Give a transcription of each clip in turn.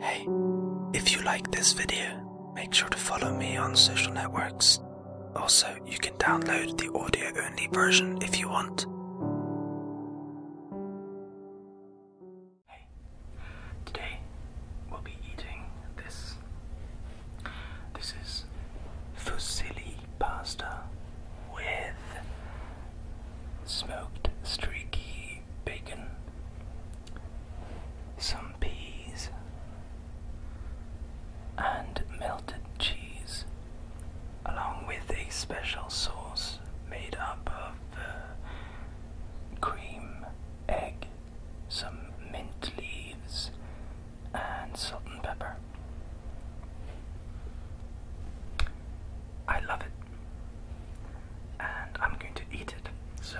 Hey, if you like this video, make sure to follow me on social networks. Also, you can download the audio only version if you want. today we'll be eating this. This is fusilli pasta with smoked streaky bacon, some peas, and melted cheese, along with a special sauce made up of uh, cream, egg, some mint leaves, and salt and pepper. I love it. And I'm going to eat it. So,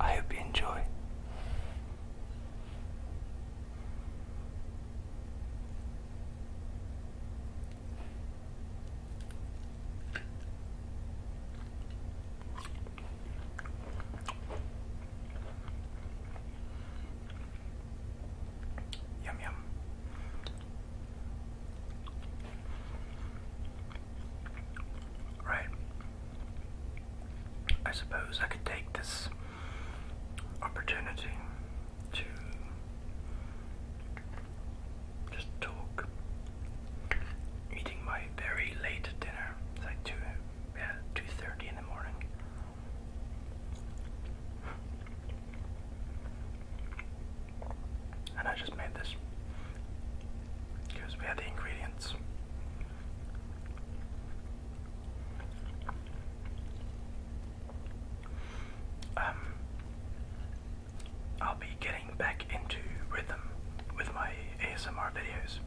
I hope you enjoy. Yum yum. Right. I suppose I could take this opportunity to just talk. Eating my very late dinner. like two yeah, two thirty in the morning. And I just made this because we had the ingredients. Um, I'll be getting back into rhythm with my ASMR videos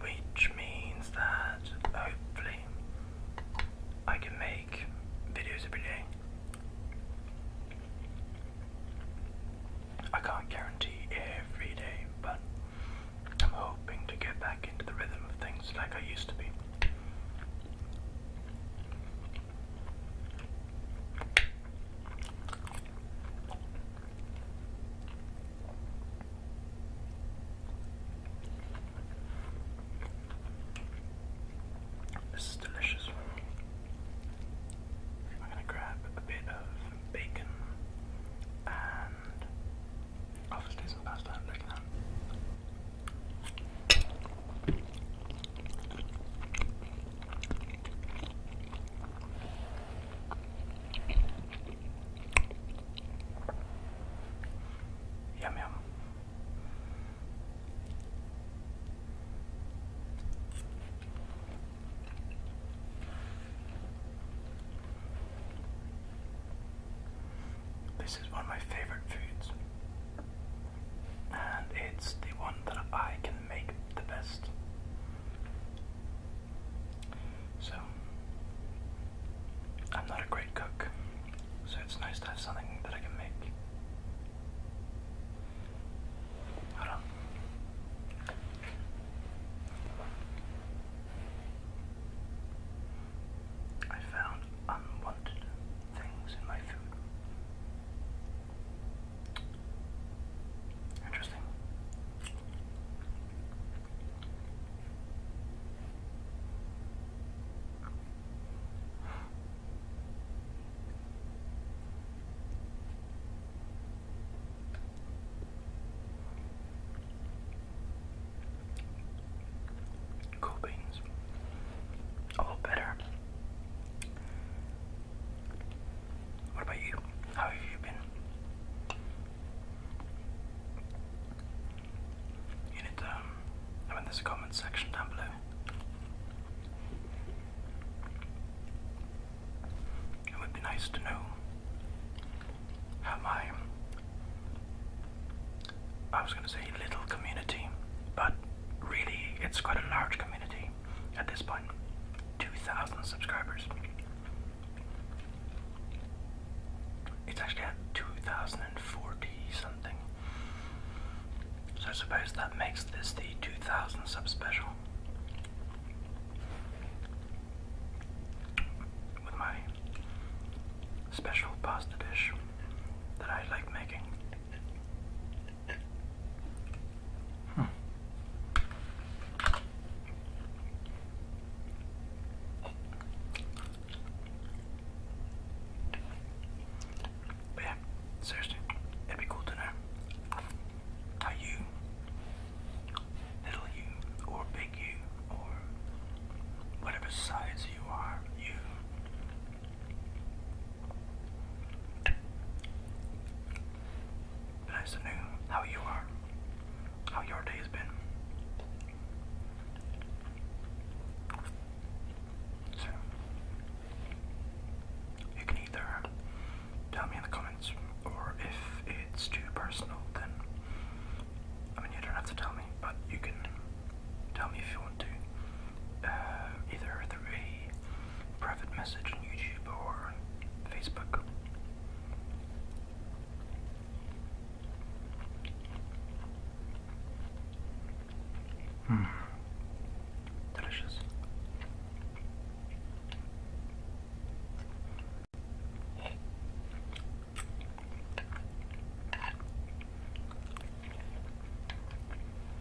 which means that hopefully I can make videos every day. I can't guarantee every day, but I'm hoping to get back into the rhythm of things like I used to be. This is delicious. I'm going to grab a bit of bacon and obviously some pasta I'm Yum yum. This is one of my favorite foods, and it's the one that I can make the best. So, I'm not a great cook, so it's nice to have something that I can make. Hold on. I found unwanted things in my food. Interesting. Cool beans. A better. What about you? How have you been? You need to, um, I comment section down below. It would be nice to know how my, I was going to say little community, but really it's quite a large community at this point. 2,000 subscribers. It's actually at 2040 something. So I suppose that makes this the 2000 subspecial. With my special pasta dish that I like making. Hmm. But yeah, seriously, it'd be cool to know how you, little you, or big you, or whatever size you are, you nice to know how you are, how your day has been. So, you can either tell me in the comments, or if it's too personal, then I mean, you don't have to tell me, but you can tell me if you want to, uh, either through private message on YouTube or Facebook. Mm. Delicious.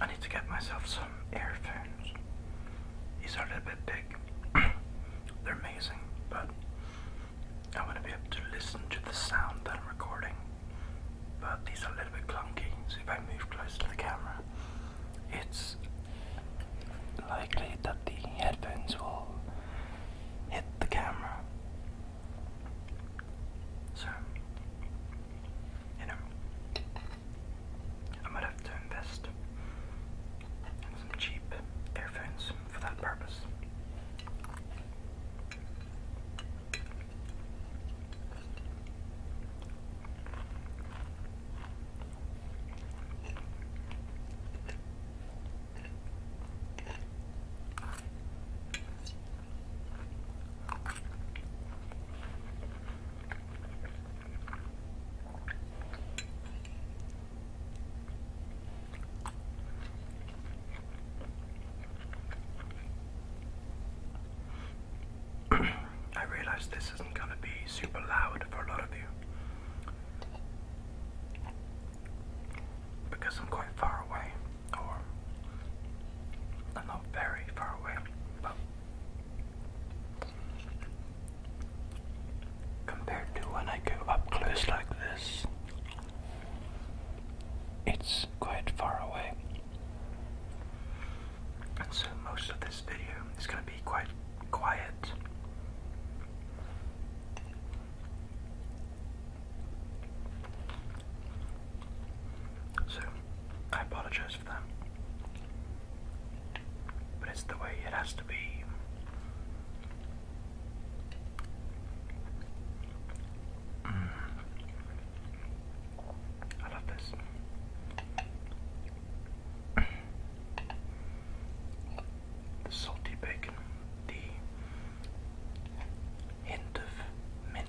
I need to get myself some earphones. These are a little bit big. They're amazing, but I want to be able to listen to the sound that I'm recording, but these are a little bit clunky, so if I move close to the camera, it's likely that the headphones will hit the camera. So, you know, I might have to invest in some cheap earphones for that purpose. I realize this isn't going to be super loud for a lot of you because I'm quite far away, or I'm not very far away, but compared to when I go up close like this. It's quite far away. And so most of this video is going to be quite quiet. So I apologize for that. But it's the way it has to be. Mm. I love this. The salty bacon, the hint of mint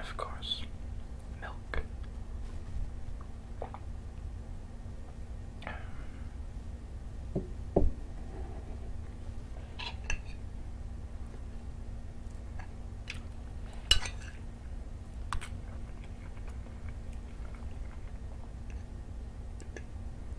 of course, milk.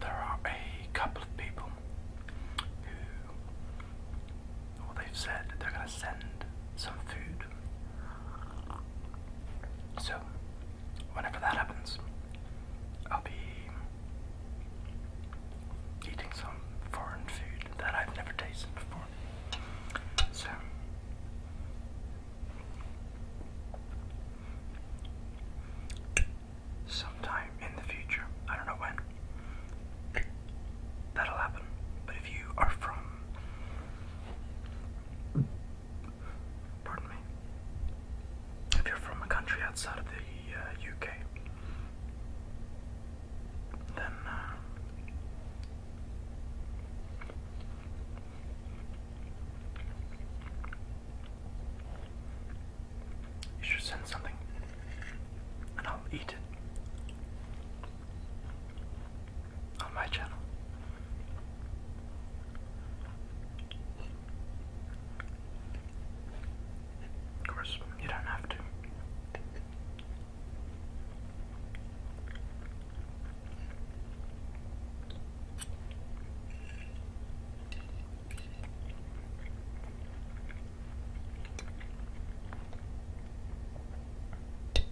There are a couple of people who, well, they've said they're going to send some food so, whenever that happens, I'll be eating some foreign food that I've never tasted before. So, sometime in the future, I don't know when, that'll happen. But if you are from Pardon me. If you're from a country outside of the UK, uh, then uh, you should send something, and I'll eat it on my channel. Of course, you don't have to.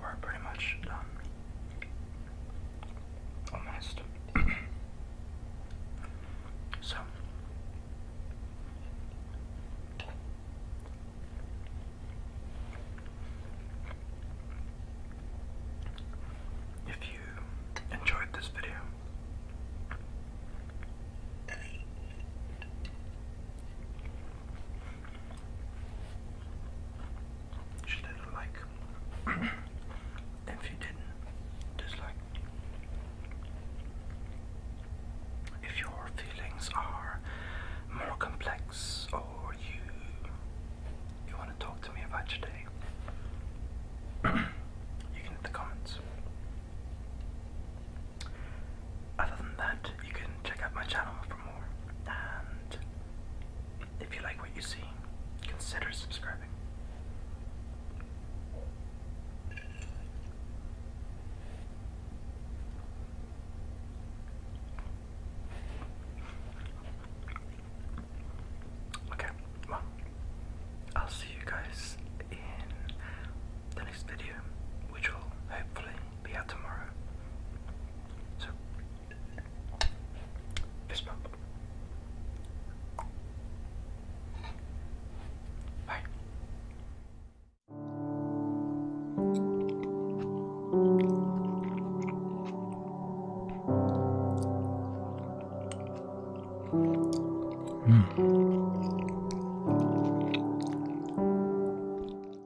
We're pretty much done. Almost. so. If you enjoyed this video, just a like. if you didn't, dislike. If your feelings are more complex or you you want to talk to me about your day, you can hit the comments. Other than that, you can check out my channel for and if you like what you see, consider subscribing. Okay, well, I'll see you guys in the next video, which will hopefully be out tomorrow. So, this one. Bye. Mm.